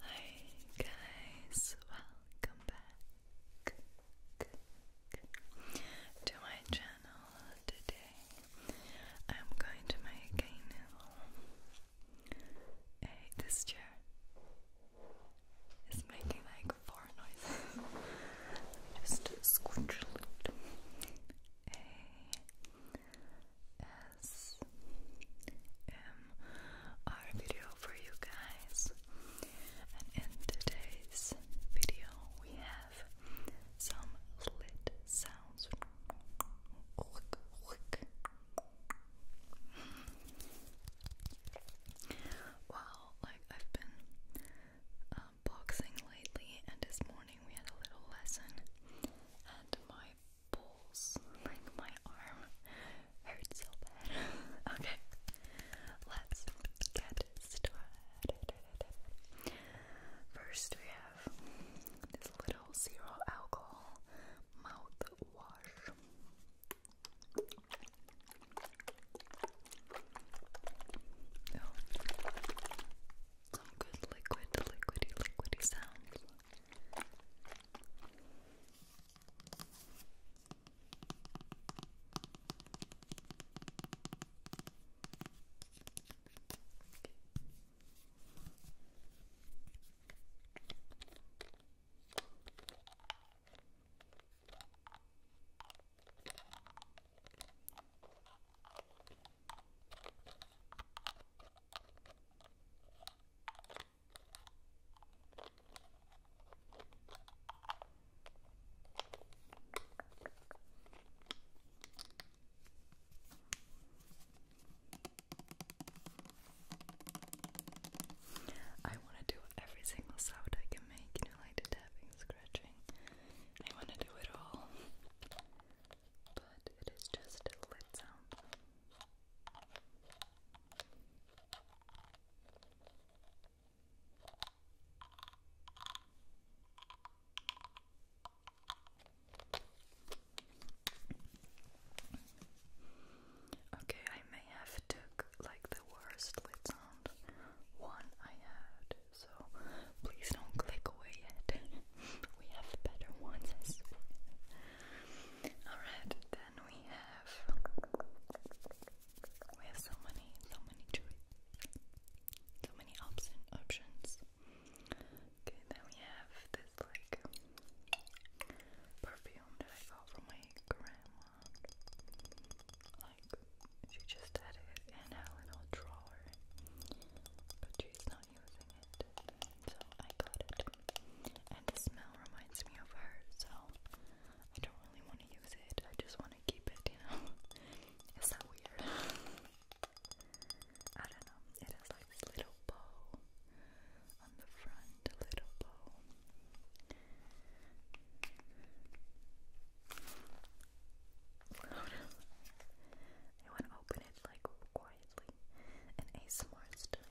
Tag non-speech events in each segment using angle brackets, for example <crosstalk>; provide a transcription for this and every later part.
Hi guys, welcome back to my channel. Today I'm going to make a new. this chair is making like four noises. Just scrunch a little. A S M R video for you guys. And in today's video, we have some lit sounds. Wow, like I've been um, boxing lately, and this morning we had a little lesson, and my balls, like my arm, hurt so bad. <laughs> okay, let's get started. First, we have this little zero alcohol mouthwash. Oh. Some good liquid, liquidy, liquidy sounds. I want to do every single sound I can make, you like the tapping, scratching, I want to do it all, but it is just a lid sound. Okay, I may have took like the worst lid sound one I had. So please don't click away yet. <laughs> we have better ones, Alright, then we have we have so many, so many choices. So many options. Okay, then we have this like perfume that I got from my grandma. Like she just had it in a little drawer, but she's not using it. So I got it. And the smell reminds me of her, so I don't really want to use it. I just want to keep it, you know? <laughs> It's not weird. <laughs> I don't know. It has like this little bow on the front, little bow loud. I want to open it like quietly in ASMR style.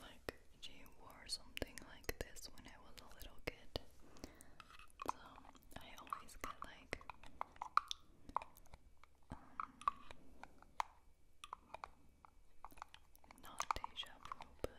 Like she wore something like this when I was a little kid. So I always get like um, not deja vu but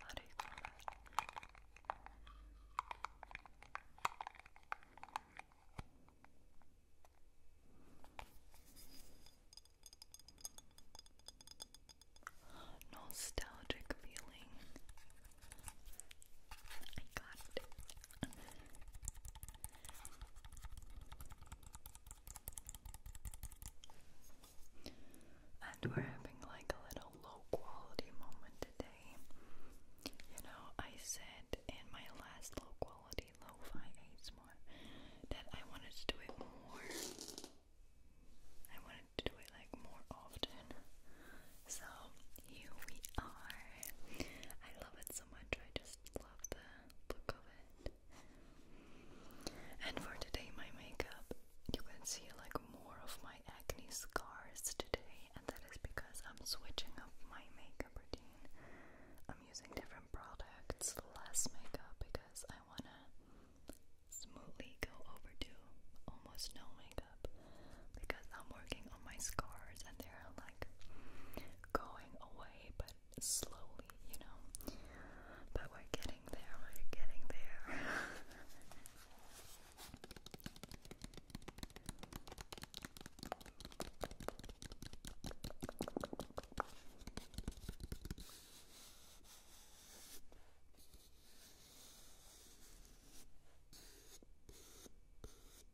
how do you call that? Nostalgic feeling and we're having like a little low quality moment today. You know, I said in my last low quality lo-fi more that I wanted to do it more. I wanted to do it like more often. So here we are. I love it so much. I just love the look of it. And for today, my makeup, you can see like more of my acne scars today, and that is because I'm switching up my makeup routine. I'm using different products, less makeup because I wanna smoothly go over to almost no makeup because I'm working on my scars and they're like going away but slowly, you know. But we're getting there, we're getting there.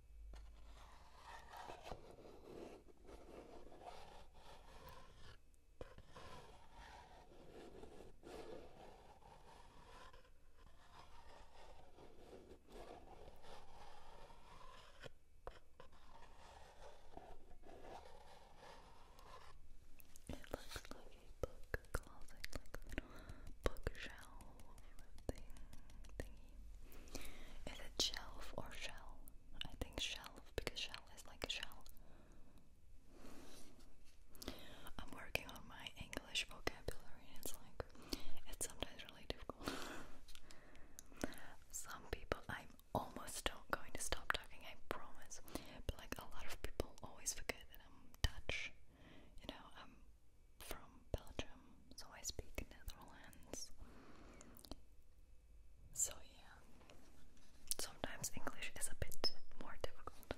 It looks like a book closet, like a little bookshelf thing, thingy. Is it shelf or shell? I think shelf because shell is like a shell. I'm working on my English vocabulary and it's like it's sometimes really difficult. <laughs> Some people I'm almost not going to stop talking, I promise. But like a lot of people always forget that I'm Dutch. You know, I'm from Belgium, so I speak Netherlands. So, yeah, sometimes English is a bit more difficult.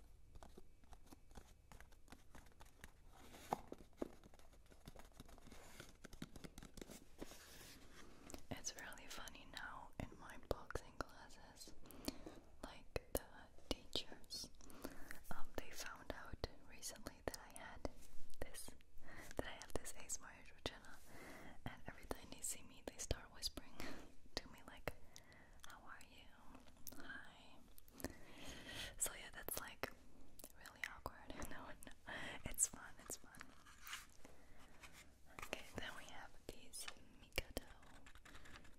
It's really funny now in my boxing classes. Like the teachers, um, they found out recently that I had this, that I have this ASMR channel, and every time they see me, they start whispering <laughs> to me like, how are you? Hi. So yeah, that's like really awkward. <laughs> No, It's fun, it's fun. Okay, then we have these Mikado.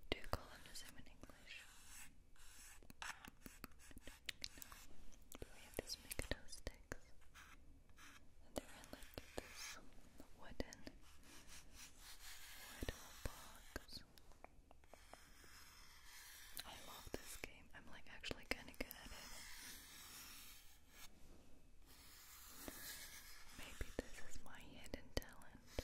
Do you call them the in English? we have these Mikado sticks. they're like this wooden little bugs. I love this game. I'm like actually kind of good at it. Maybe this is my hidden talent.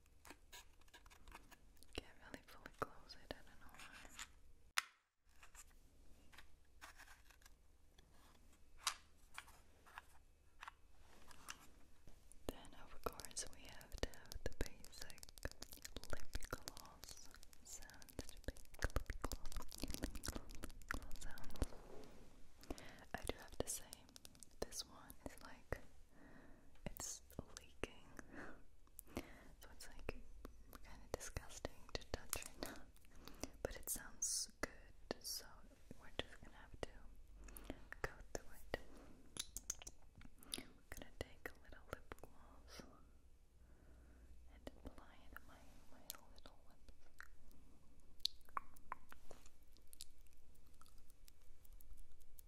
Can't really fully close it, I don't know why. Then of course we have to have the basic lip gloss sounds lip gloss sounds. I do have to say, this one is like it's leaking. so it's like kind of disgusting to touch right But it sounds good, so we're just gonna have to go through it. gonna take a little lip gloss and apply it on my, my little lips.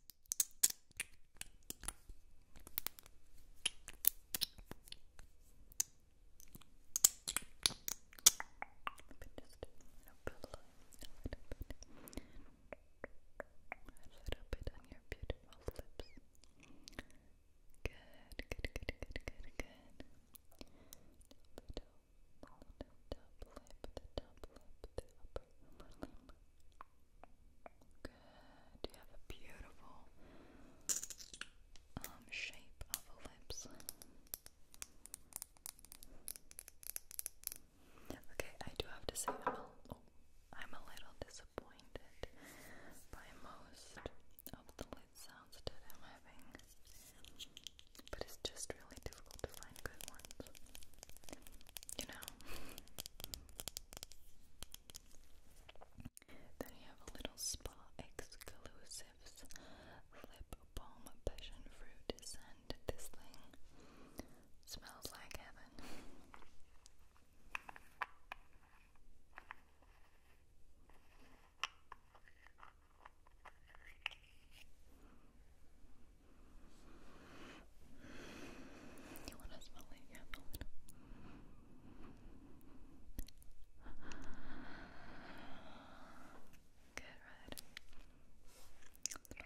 bit on your beautiful lips. Good, good, good, good, good, good. Little bit of the top lip, the top lip, the upper lip. Good. You have a beautiful um, shape of the lips. Okay, I do have to say oh, I'm a, little disappointed by most of the lid sounds that I'm having, but it's just really difficult to find good ones. You know? Then I have a little spa exclusives lip balm passion fruit scent. This thing smells like heaven. You wanna smell it? Yeah, smell it. Good, right? smells so good.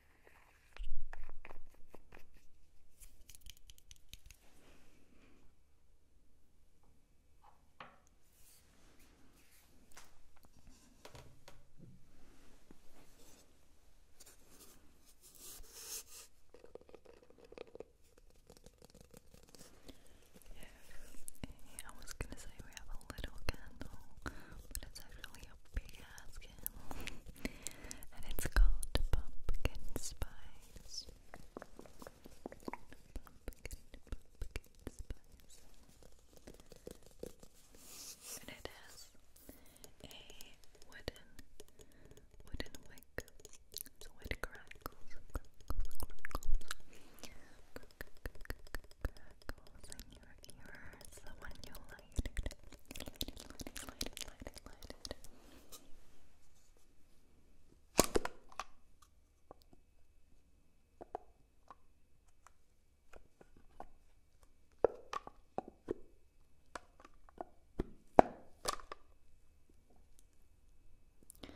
Yeah, I was gonna say we have a little candle, but it's actually a Haskell, and it's called Pumpkin Spice. Pumpkin, pumpkin spice. And it has a wooden, wooden wick. So it crackles, crackles, crackles, crackles in your ears. So when you light it,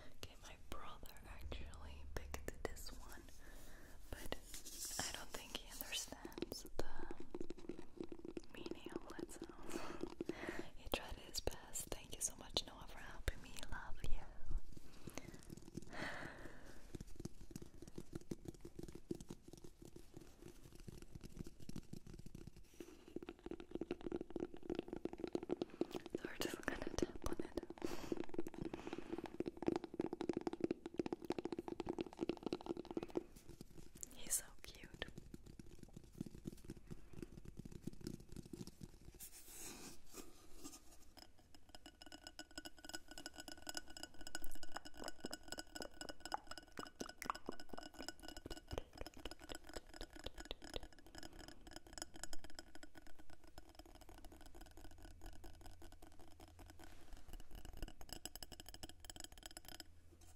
Okay, my brother actually picked this one, but I don't think he understands the meaning of that sound. he <laughs> tried his best. Thank you so much, Noah, for helping me. Love you. So we're just gonna tap on it. He's so cute.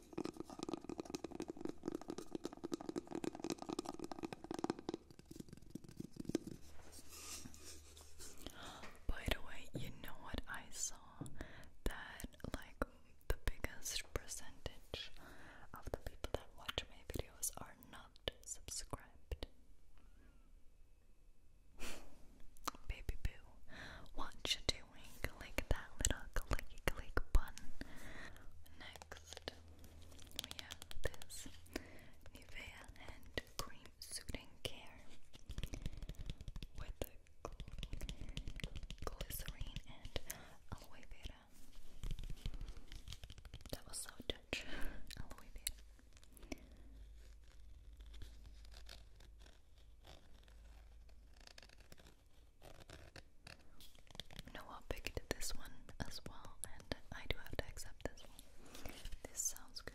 By the way, you know what I saw? That like the biggest percentage of the people that watch my videos are not subscribed. <laughs> Baby boo, what you doing? Click that little clicky click button. Next, we have this Nivea Hand Cream Soothing Care with glycerine and aloe vera. That was so <laughs> aloe vera. Noah picked this one as well, and I do have to accept this one. This sounds good.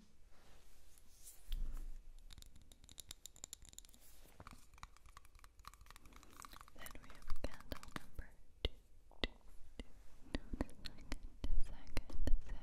Then we have candle number two, two, two, two, second, second, second, second, second candle.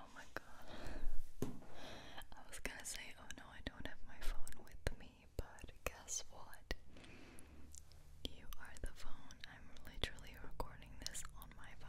Oh my god. I was gonna say, oh no, I don't have my phone with me, but guess what? You are the phone. I'm literally recording this on my phone.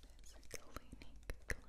this cleaning cleansing foam.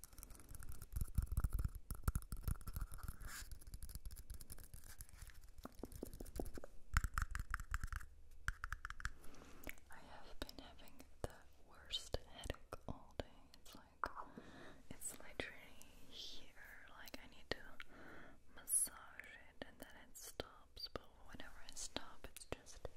I have been having the worst headache all day. It's like it's literally here. Like I need to massage it and then it stops. But whenever I stop, it's just there.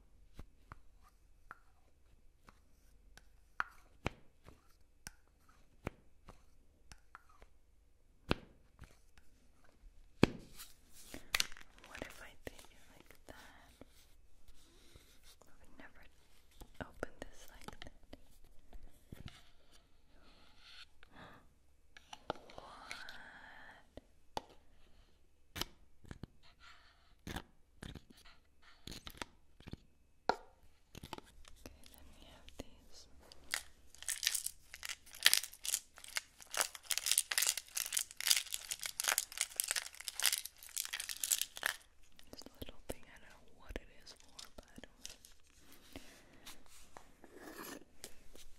What if I did it like that? I would never open this like that. <gasps> What? Okay, let me have these. This little thing, I don't know what it is for, but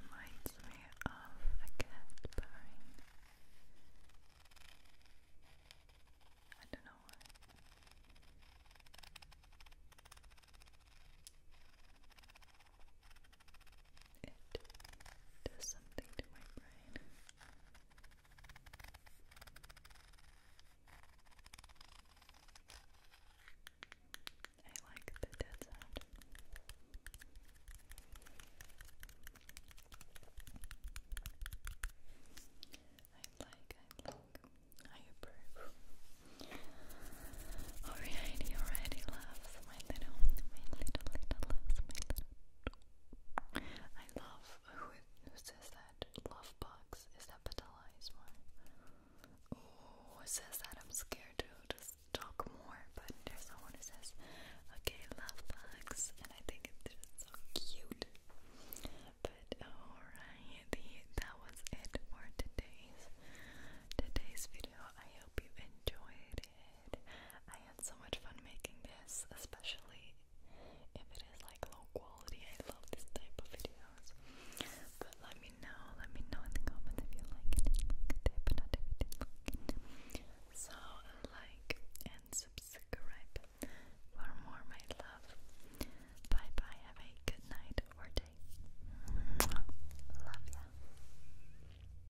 Reminds me of a cat purring. I don't know why it does something to my brain. I like the dead sound. I like, I like, I approve. Alrighty, alrighty, loves, my little, my little, little loves, little I love who, says that love bugs. Is that Patella one? Oh, says that I'm scared to just talk more, but there's someone who says, "Okay, love bugs," and I think it's so cute. But alright, that was it for today's today's video. I hope you enjoyed it. I had so much fun making this, especially if it is like low quality. I love this type of videos. But let me know, let me know in the comments if you like it, So like and subscribe for more, my love. Bye bye. Have a good night or day. Love ya.